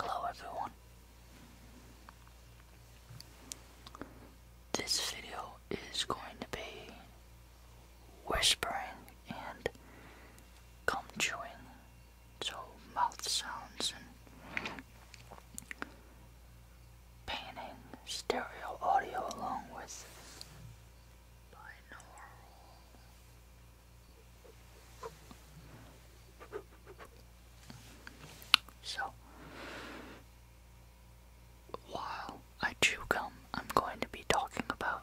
Hello everyone. This video is going to be whispering and gum chewing, so mouth sounds and Panning stereo audio along with binaural. So, while I chew gum, I'm going to be talking about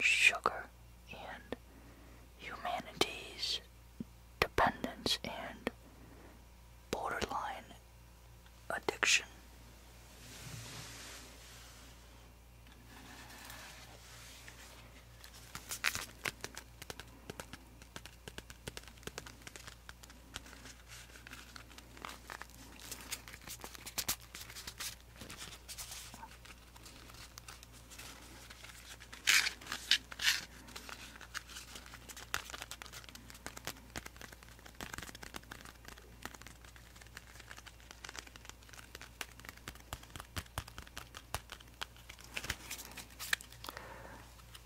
sugar and humanities dependence and borderline addiction.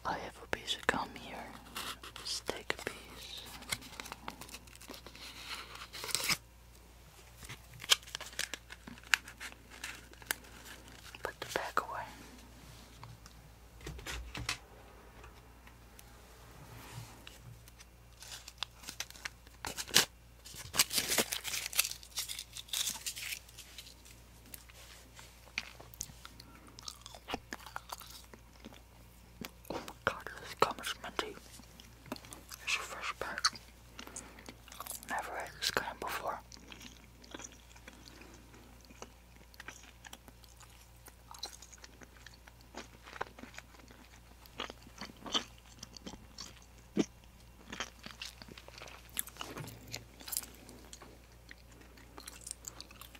I have a piece of gum here. let take a piece. Put the pack away. Oh my god, this gum is minty. It's a fresh bag. Never had this kind before.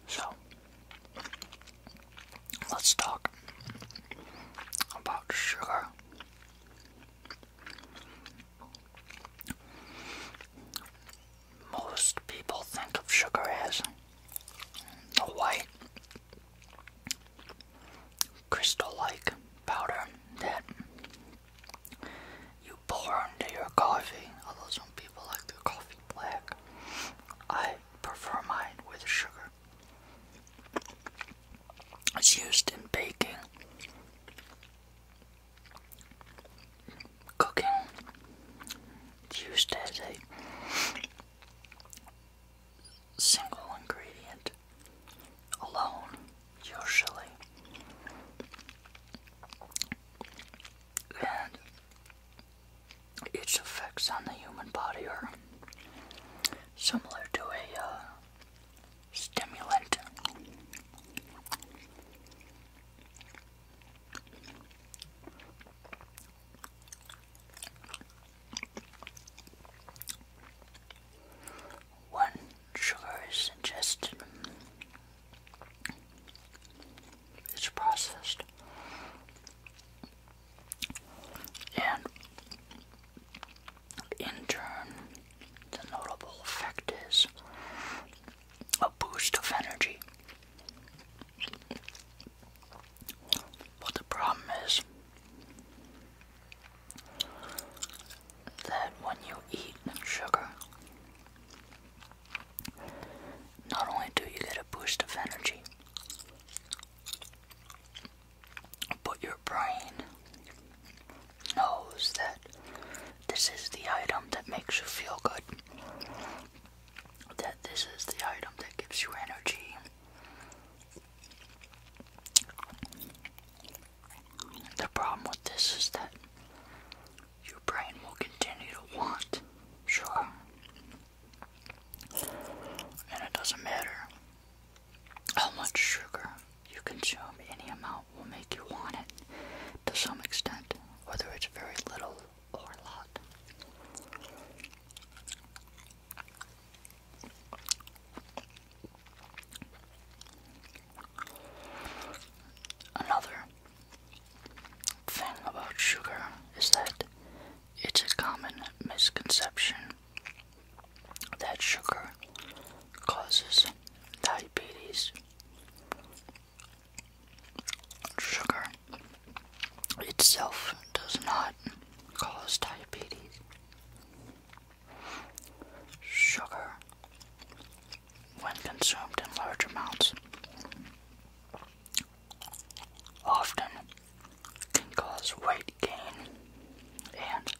So let's talk about sugar most people think of sugar as the white crystal like powder that you pour into your coffee, although some people like their coffee black. I prefer mine with sugar. It's used in baking cooking used as a single ingredient alone, usually. And its effects on the human body are similar to a uh, stimulant. One sugar is ingested, it's processed, and in turn, the notable effect is a boost of energy. But the problem is that when you eat sugar, not only do you get a boost of energy, but your brain knows that this is the item that makes you feel good. That this is the item that gives you energy. The problem with this is that your brain will continue to want, sure. And it doesn't matter how much sugar you consume, any amount will make you want it to some extent whether it's very little or a lot. Another thing about sugar is that it's a common misconception that sugar causes diabetes. Sugar itself does not cause diabetes. Sugar, when consumed in large amounts, often can cause weight gain. And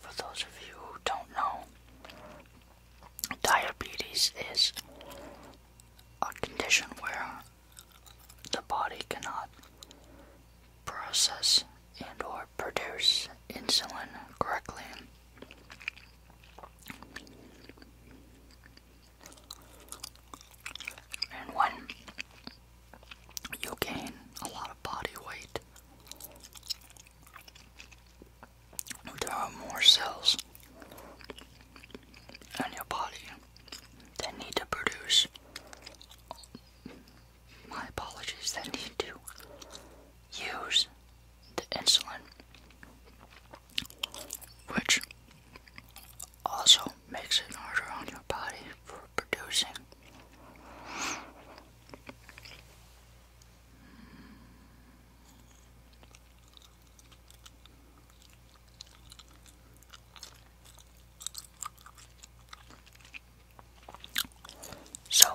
for those of you who don't know, Diabetes is a condition where the body cannot process and or produce insulin correctly. And when you gain a lot of body weight, there are more cells in your body that need to produce. My apologies, that need to use the insulin, which also makes it harder on your body for producing so,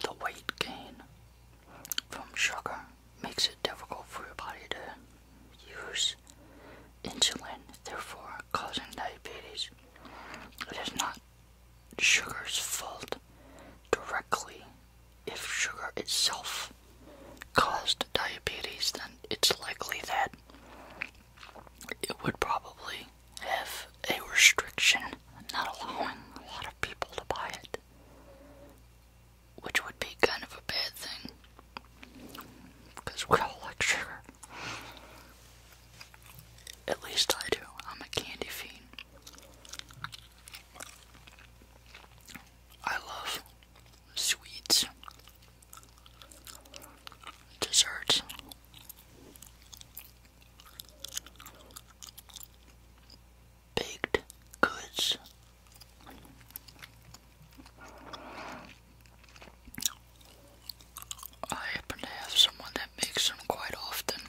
the weight gain from sugar makes it difficult for your body to use insulin, therefore causing diabetes. It is not sugar's fault directly. If sugar itself caused diabetes, then it's likely that it would probably have a restriction not allowing a lot of people to buy it, which would be kind of a bad thing because we all like sugar. At least I do. I'm a candy fiend. I love sweets, desserts. Baked goods. I happen to have someone that makes them quite often,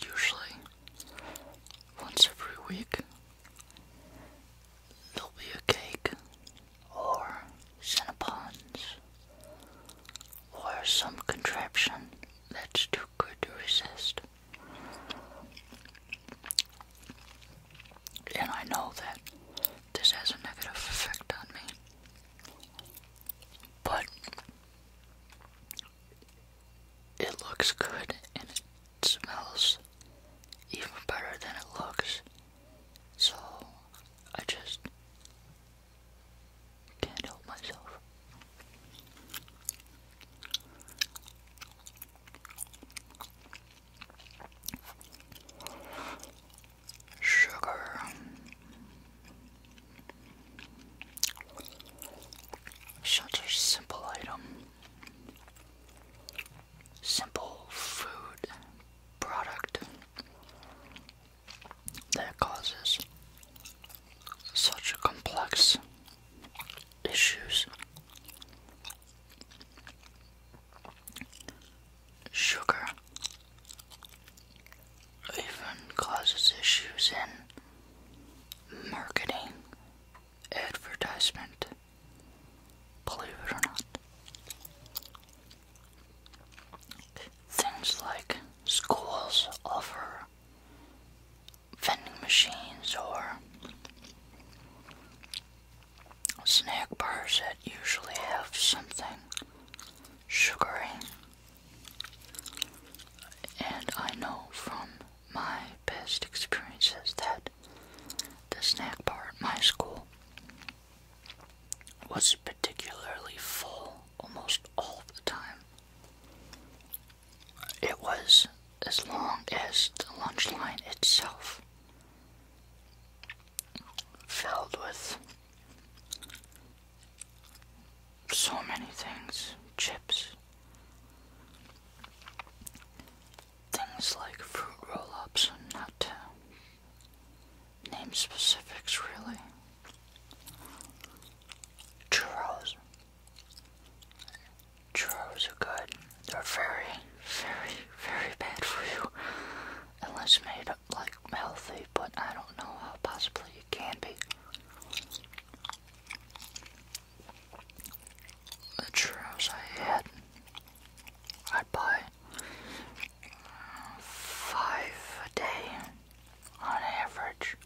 usually once every week. There'll be a cake, or cinnabons, or some contraption that's too good to resist. And I know that this has a negative effect on me. But it looks good and it smells even better than it looks. So I just can't help myself. Sugar. Such a simple item. Simple food product that causes such complex issues. Sugar even causes issues in marketing, advertisement, believe it or not. Things like schools offer vending machines or snack bars that usually have something sugary. And I know from my best experiences that the snack bar at my school was particularly full almost all the time. It was as long as the lunch line itself, filled with so many things chips, things like fruit roll ups, not name specifics really. Churros. Churros are good. They're very, very, very bad for you. Unless made like healthy, but I don't know how possibly it can be the churros I had, I'd buy uh, five a day on average.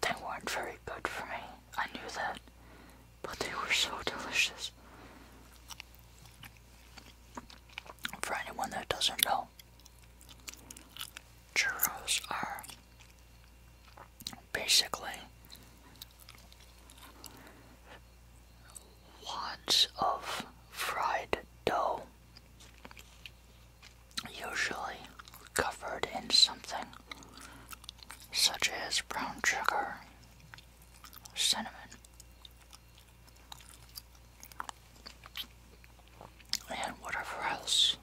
They weren't very good for me, I knew that, but they were so delicious. For anyone that doesn't know, churros are basically lots of fried dough, usually covered in something such as brown sugar, cinnamon, and whatever else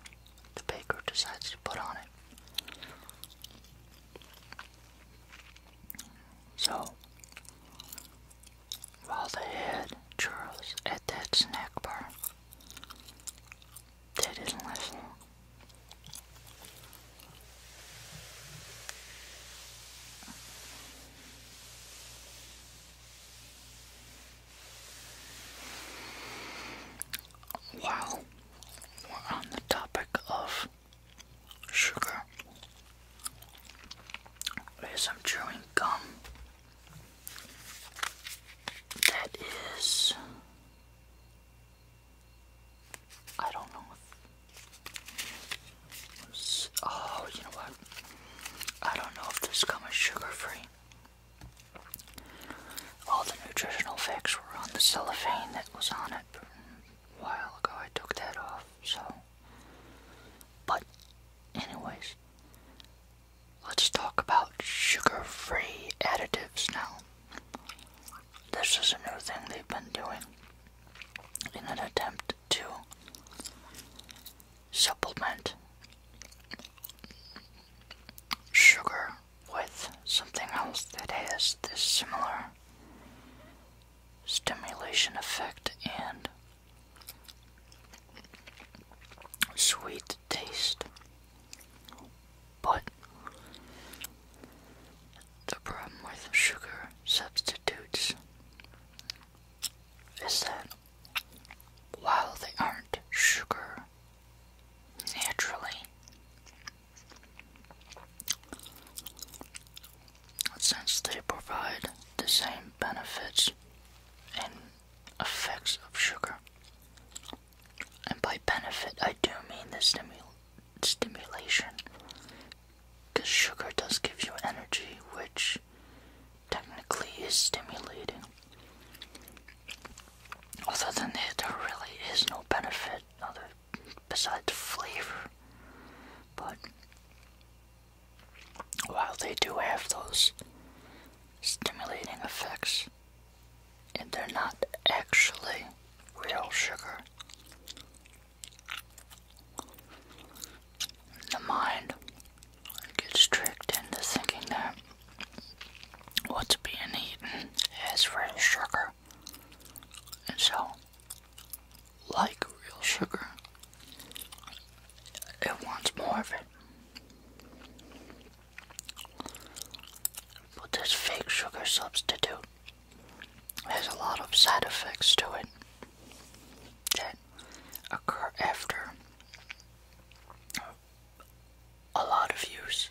the baker decides to put on it. So, while the head churros at that snack bar, Ted is not listen. While we're on the topic of sugar, I'm chewing gum that is I don't know oh you know what I don't know if this gum is sugar free all the nutritional facts were on the cellophane that was on it a while ago. I took that off, so. But, anyways, let's talk about sugar free additives now. This is a new thing they've been doing in an attempt to supplement sugar with something else that has this similar stimulation effect and sweet taste. But the problem with sugar substitutes is that while they aren't sugar naturally. Since they provide the same benefits and effects of sugar. And by benefit, I do mean the stimul stimulation. Because sugar does give you energy, which technically is stimulating. Other than that, there really is no benefit other besides flavor. But while they do have those stimulating effects, and they're not actually real sugar. The mind gets tricked into thinking that what's being eaten has real sugar. And so, like real sugar, it wants more of it. But this fake sugar substitute has a lot of side effects to it that occur after a lot of use.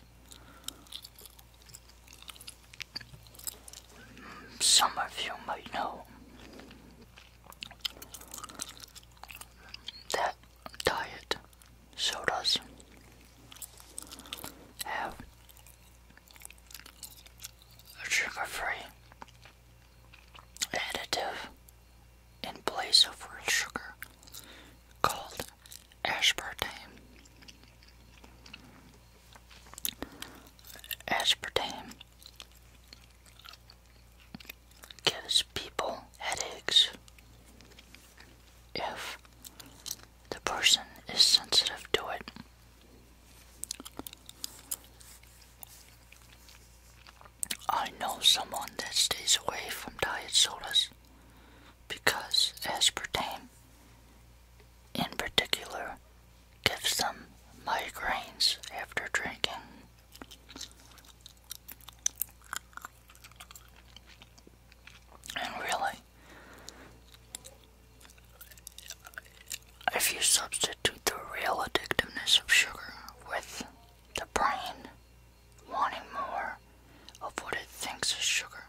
Some of you might know that diet sodas have a sugar free additive in place of real sugar called aspartame. Aspartame gives people headaches if the person is sensitive to it. I know someone that stays away from diet sodas because aspartame, in particular, gives them migraines after drinking. And really, if you substitute the real addictiveness of sugar with the brain wanting more of what it thinks is sugar.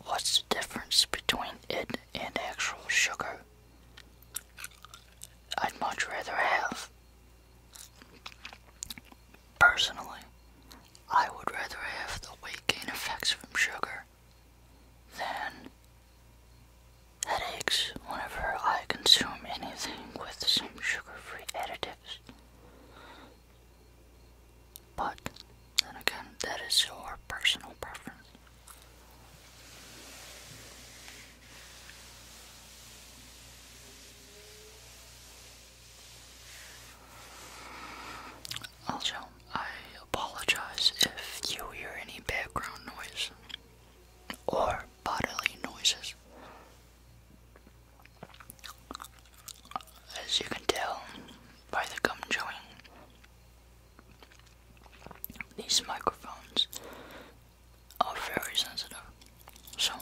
What's the difference between it and actual sugar? I'd much rather have. Personally, I would rather have the weight gain effects from sugar than headaches whenever I consume anything with some sugar free additives. But then again, that is your personal preference. Also, I apologize if you hear any background noise or bodily noises. As you can tell by the gum chewing, these microphones are very sensitive. So,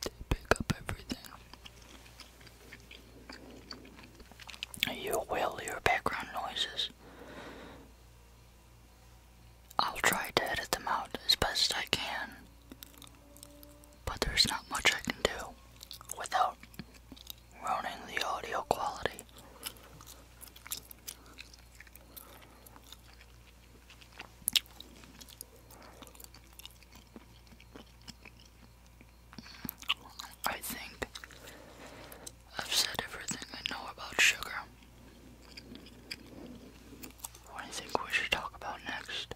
to pick up everything. You will hear background noises. I'll try to edit them out as best I can, but there's not much I can do without ruining the audio quality. I think I've said everything I know about sugar. What do you think we should talk about next?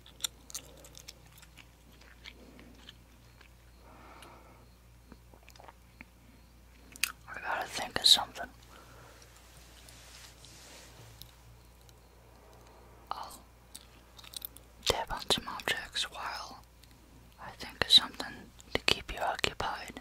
I gotta think of something. I'll tap on some objects while I think of something to keep you occupied.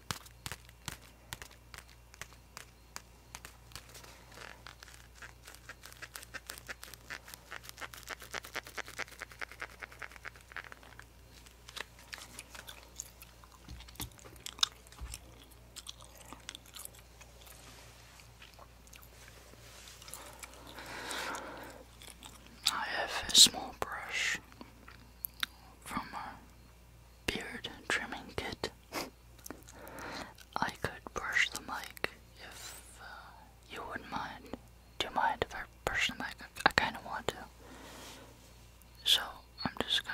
I have a small brush from a uh, beard trimming kit. I could brush the mic if uh, you wouldn't mind. Do mind if I brush the mic? I kind of want to. So I'm just gonna.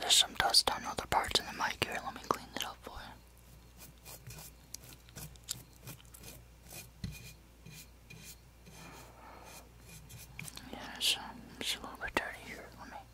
There's some dust on other parts of the mic here. Let me clean it up for you. it's a little bit dirty here. Let me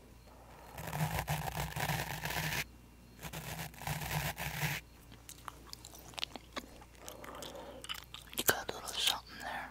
You got a little something there.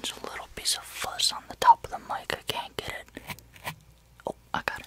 There's a little piece of fuzz on the top of the mic, I can't get it. Oh, I got it.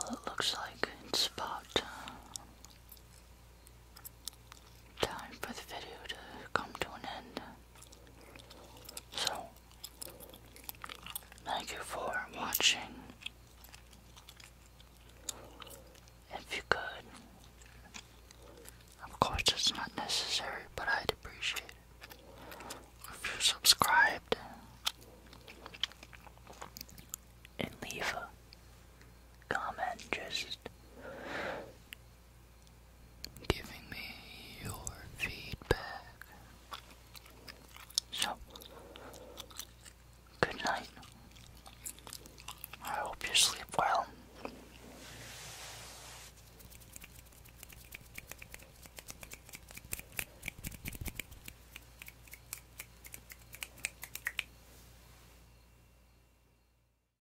Well, it looks like it's about uh, time for the video to come to an end. So, thank you for watching. If you could, of course it's not necessary, but I'd appreciate it. If you subscribed and leave a comment, just giving me your feedback. So, good night. I hope you sleep well.